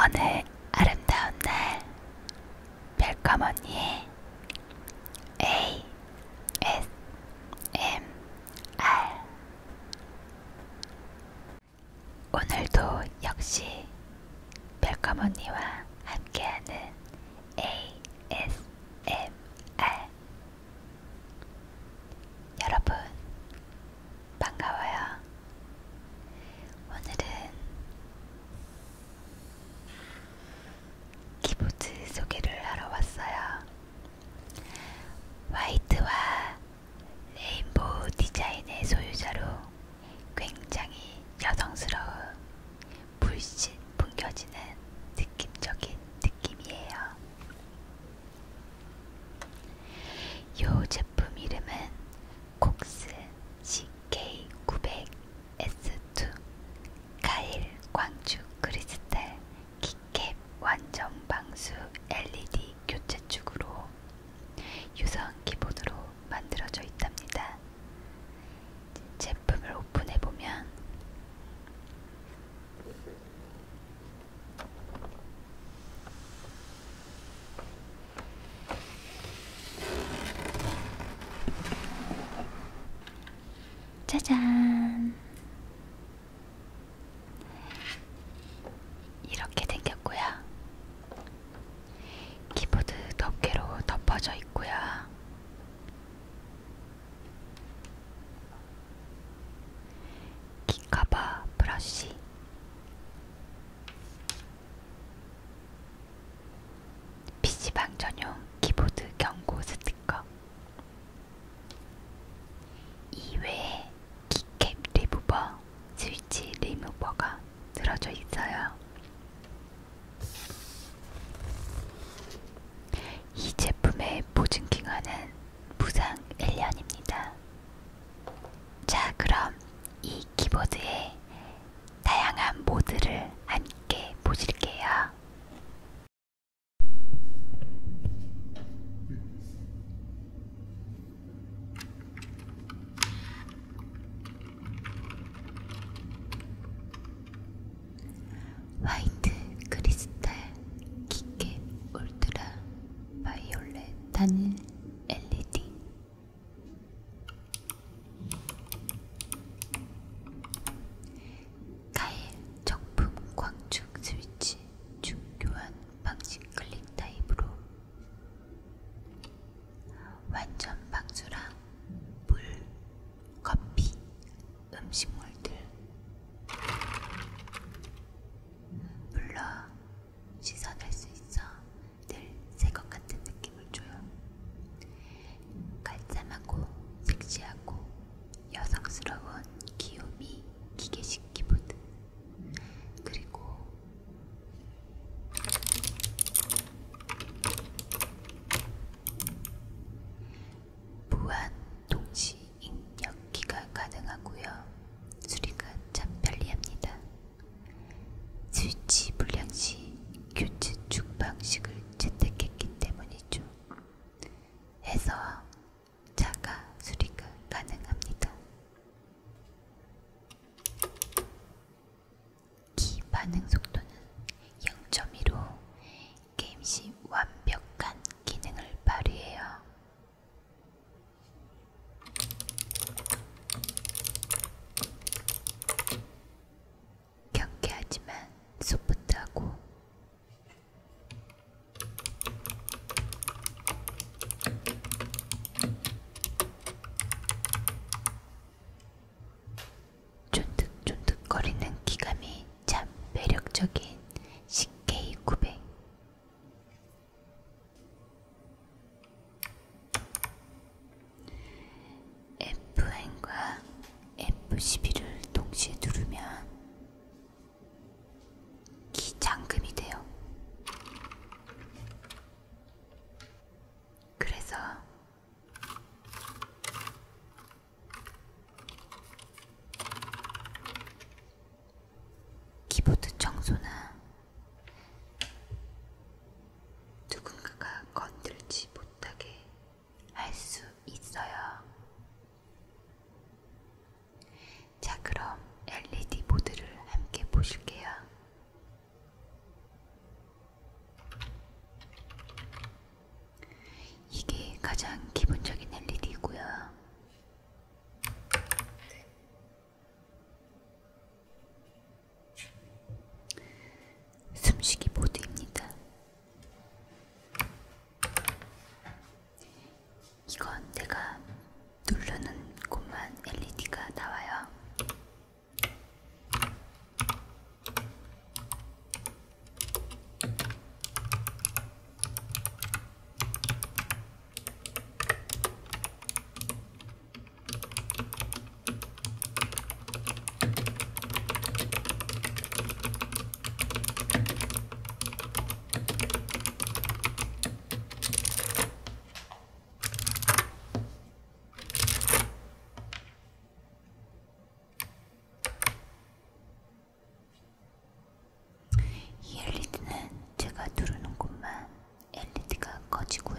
오늘 아름다운 날 별꺼머니의 A S M R 오늘도 역시 별까머니와 함께하는 ASMR 여러분 반가워요. 오늘은 키보드 소개를 하러 왔어요. 화이트와 레인보우 디자인의 소유자로 굉장히 여성스러운 물씬 풍겨지는 느낌적인 느낌이에요. 이 제품 이름은 콕스 CK900S2 가일 광주 크리스탈 키캡 완전 방수 LED 교체축으로 유사한 기본으로 만들어져 있답니다. 제품을 오픈해 보면 짜잔! 이렇게 생겼고요. 키보드 덮개로 덮어져 있고요. 키커버 브러쉬 PC방 전용 키보드 경고 스티커 이외에 키캡 리무버, 스위치 리무버가 들어져 있어요. 이 제품의 보증 기간은 무상 1년입니다. 자, 그럼 이 키보드의 다양한 모드를 함께 보실게요. 화이트 크리스탈 기계 울트라 바이올렛 단일 LED 가일 정품 광축 스위치 중교환 방식 클릭 타입으로 완전 박주랑 물, 커피, 음식물들. 물론 씻어낼 수 있어 늘 새것 같은 느낌을 줘요. 깔끔하고 섹시하고 여성스러운 귀요미 기계식 키보드. 그리고 무한 동시 입력기가 가능하고요. 수리가 참 편리합니다. 스위치 불량 시 교체축 방식을 채택했기 때문이죠. 해서 자가 수리가 가능합니다. 기 반응 속도는 0.1로 게임 시 완벽한 기능을 발휘해요. 경쾌하지만 소프트하고 쫀득쫀득거리는 기감이 참 매력적인 CK900 F1과 F11을 동시에 누르면 기장금이 돼요. 그래서 키보드 청소나 누군가가 건들지 못하게 할 수 있어요. 자, 그럼 LED 보드를 함께 보실게요. 이게 가장 기본적인 LED고요. 숨쉬기 보드입니다. 이건 내가 누르는 곳만 LED가 나와요. 이 엘리트는 제가 누르는 곳만 엘리트가 꺼지고요.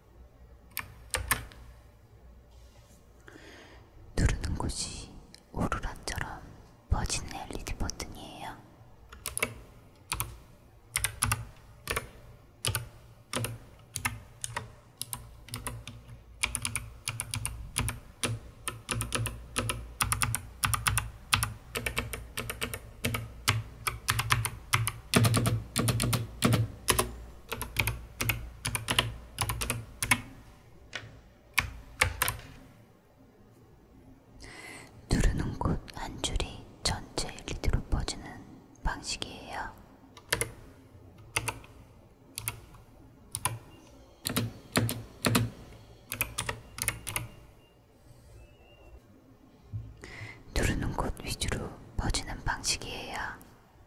누르는 곳이 오로라처럼 퍼지는 LED 버튼이에요. 누르는 곳 한 줄이 전체 리드로 퍼지는 방식이에요. 누르는 곳 위주로 퍼지는 방식이에요.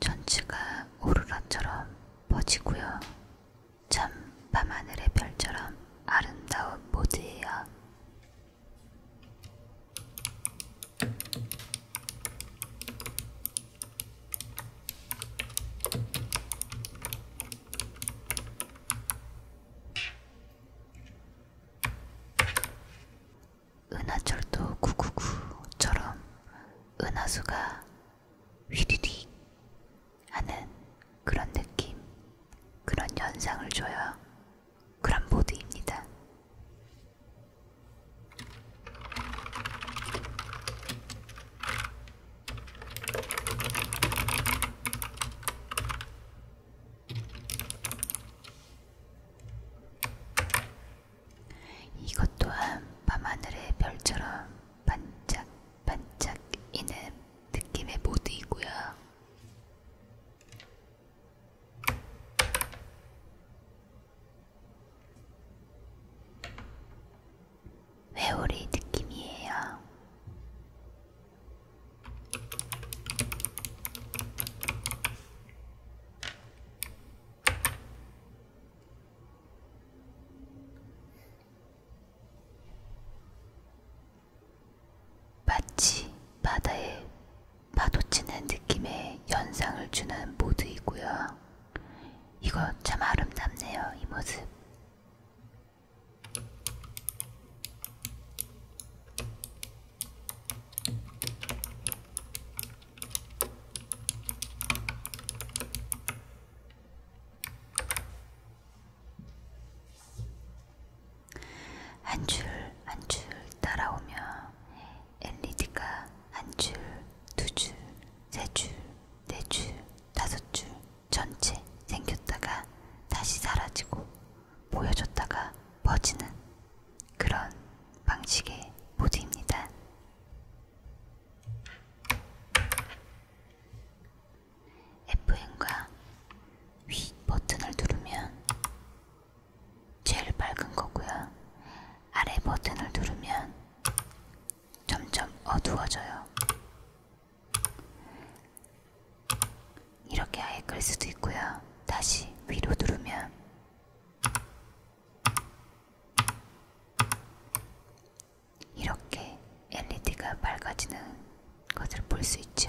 전체가 오로라처럼 퍼지고요. 참 밤하늘의 별처럼 아름다운 모드예요. 은하철도 999처럼 은하수가 휘리릭 하는 그런 느낌, 그런 연상을 줘요. 그런 보드입니다. 이것 또한 밤하늘의 별처럼 반짝반짝이는 느낌의 모드이고요. 회오리 느낌이에요. 마치 바다에 파도치는 느낌의 연상을 주는 모드이고요. 이거 참 아름답네요, 이 모습. 한줄한줄 따라오며 엘리드가 한 줄 두 줄 세 줄 네 줄 다섯 줄 전체 생겼다가 다시 사라지고 보여줬다가 퍼지는 그런 방식의 모드입니다. Fn과 윗 버튼을 누르면 제일 밝은 거고요. 아래 버튼을 누르면 점점 어두워져요. 이렇게 아예 끌 수도 있고요. 다시 위로 누르면 이렇게 LED가 밝아지는 것을 볼 수 있죠.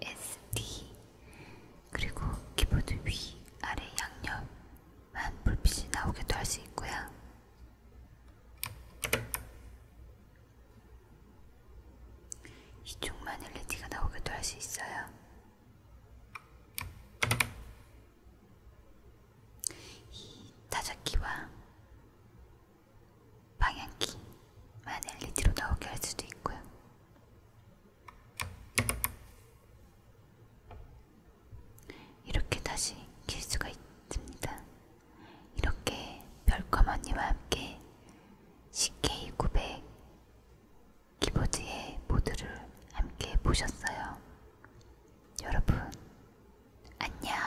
WASD 그리고 키보드 위 아래 양옆만 불빛이 나오게도 할 수 있고요. 이쪽만 LED가 나오게도 할 수 있어요. 이 타자키와 방향키만 LED로 나오게 할 수도 있고요. 이렇게 다시 킬 수가 있습니다. 이렇게 별컴 언니와 함께 CK900 키보드의 모드를 함께 보셨어요. 여러분, 안녕!